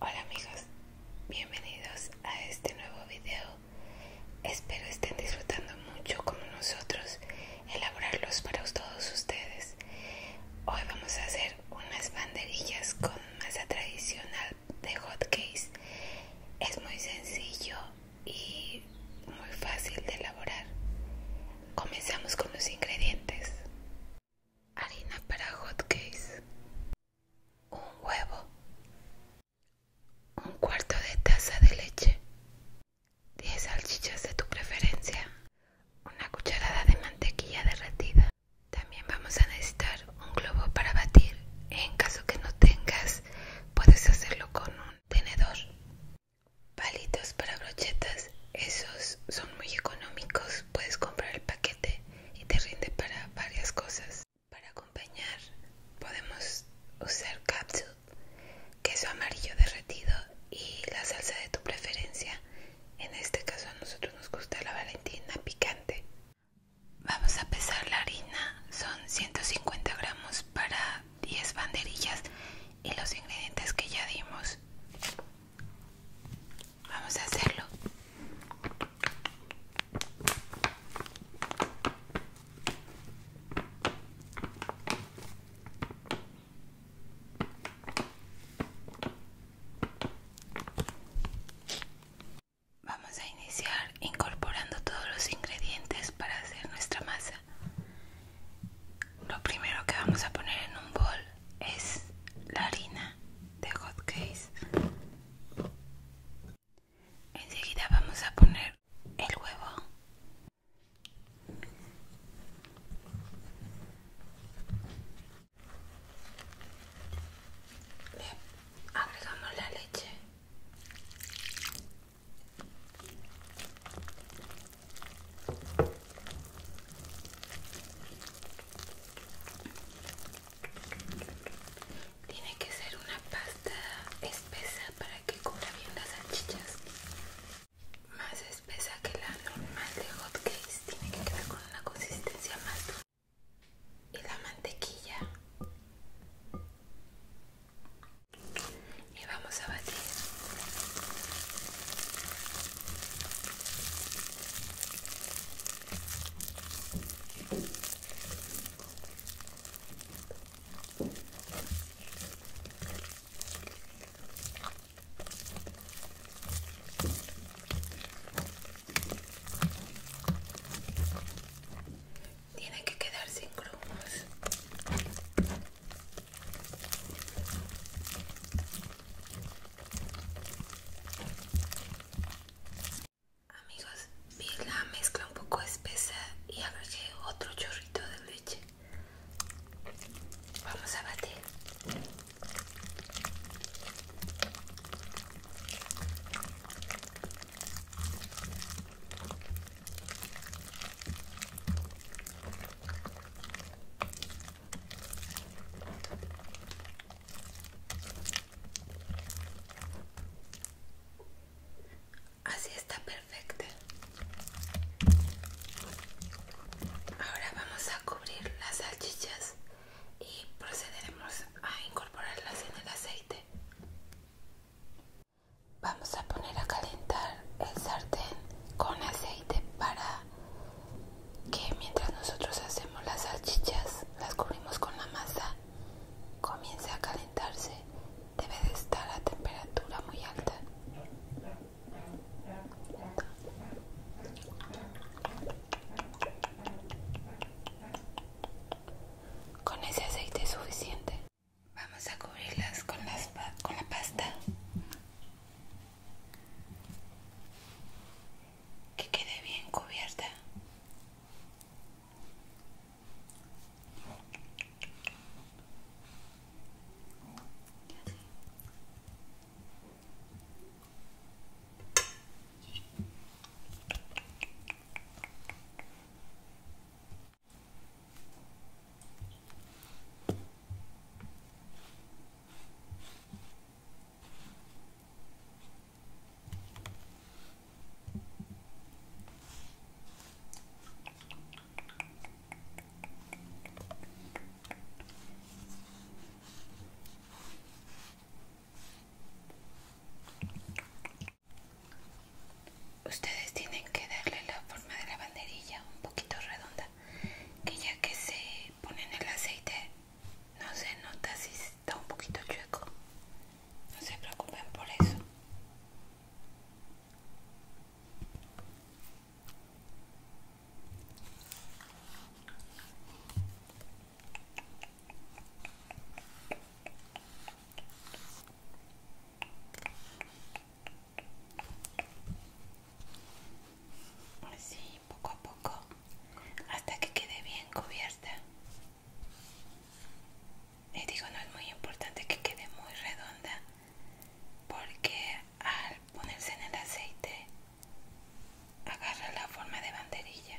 Hola amigos, bienvenidos a este nuevo video. Espero estén disfrutando mucho como nosotros elaborarlos para todos ustedes. Hoy vamos a hacer unas banderillas con masa tradicional de hotcakes. Es muy sencillo y muy fácil de elaborar. Comenzamos con los ingredientes harina para hotcakes, un huevo, un cuarto de taza de leche, 10 salchichas de tu preferencia, una cucharada de mantequilla derretida. También vamos a necesitar un globo para batir. En caso que no tengas, puedes hacerlo con un tenedor. Palitos para brochetas, esos son muy económicos, puedes comprar el paquete y te rinde para varias cosas. Para acompañar podemos usar capsule, queso amarillo derretido y la salsa de tu preferencia. En este caso a nosotros nos gusta la valentina picante. Vamos a pesar la harina, son 150 gramos para 10 banderillas y los ingredientes que ya dimos. Vamos a hacerlo. Vamos a iniciar incorporando todos los ingredientes para hacer nuestra masa. Lo primero que vamos a poner en un bol es la harina de hot case enseguida vamos a poner el huevo agregamos la leche tiene que ser una pasta espesa para que cubra bien las salchichas. Más espesa que la normal de hot tiene que quedar con una consistencia más dura. Y la mantequilla. Y vamos a batir. Tiene que quedar sin grumos. Amigos, vi la mezcla un poco espesa y agregué otro chorrito de leche. Vamos a batir. Así está perfecta. Ahora vamos a cubrir las salchichas y procederemos a incorporarlas en el aceite. Vamos a poner a calentar el sartén con aceite para que mientras nosotros hacemos las salchichas, las cubrimos con la masa, comienza a calentarse. Debe de estar a temperatura muy alta. Con ese aceite suficiente. Vamos a cubrirlas con, con la pasta que quede bien cubierta. Ustedes tienen que darle la forma de la banderilla un poquito redonda, que ya que se ponen el aceite no se nota si está un poquito chueco no se preocupen por eso Así, poco a poco hasta que quede bien cubierta. y digo, no es muy importante que quede muy redonda porque al ponerse en el aceite agarra la forma de banderilla.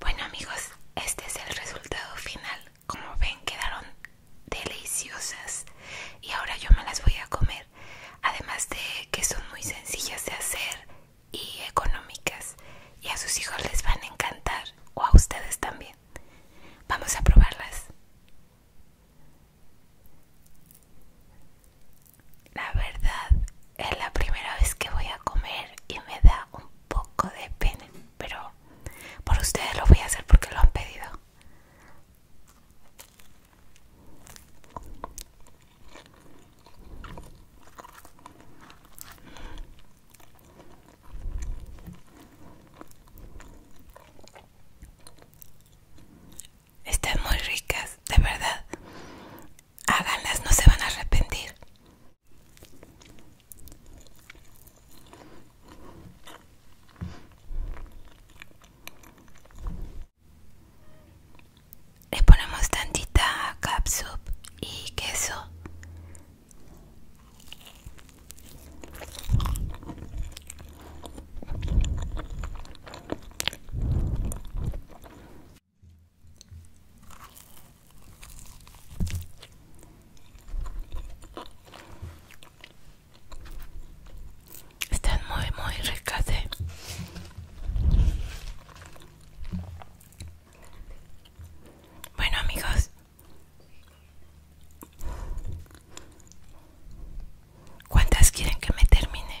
Bueno amigos, este es el resultado final. Como ven quedaron deliciosas y ahora yo me las voy a comer. Además de que son muy sencillas de hacer y económicas y a sus hijos les van a encantar o a ustedes también. Vamos a probarlas. La verdad, es la primera vez que voy a comer y me da un poco de pena, pero por ustedes lo voy a hacer porque lo han pedido. Están muy ricas, de verdad. Háganlas, no se van a arrepentir. Le ponemos tantita capsup y queso. Están muy, muy ricas, ¿eh? Bueno, amigos. ¿Cuántas quieren que me termine?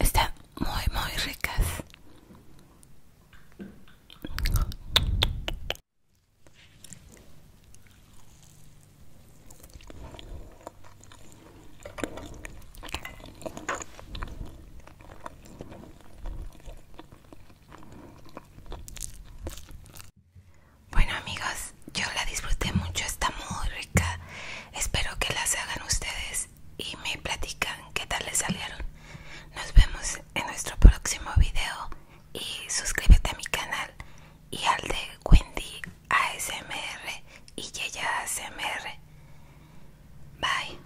Están muy, muy ricas. Bueno amigos, yo la disfruté mucho, está muy rica. Espero que las hagan ustedes y me platican qué tal les salieron. Nos vemos en nuestro próximo video y suscríbete a mi canal y al de Wendy ASMR y ya ASMR. Bye.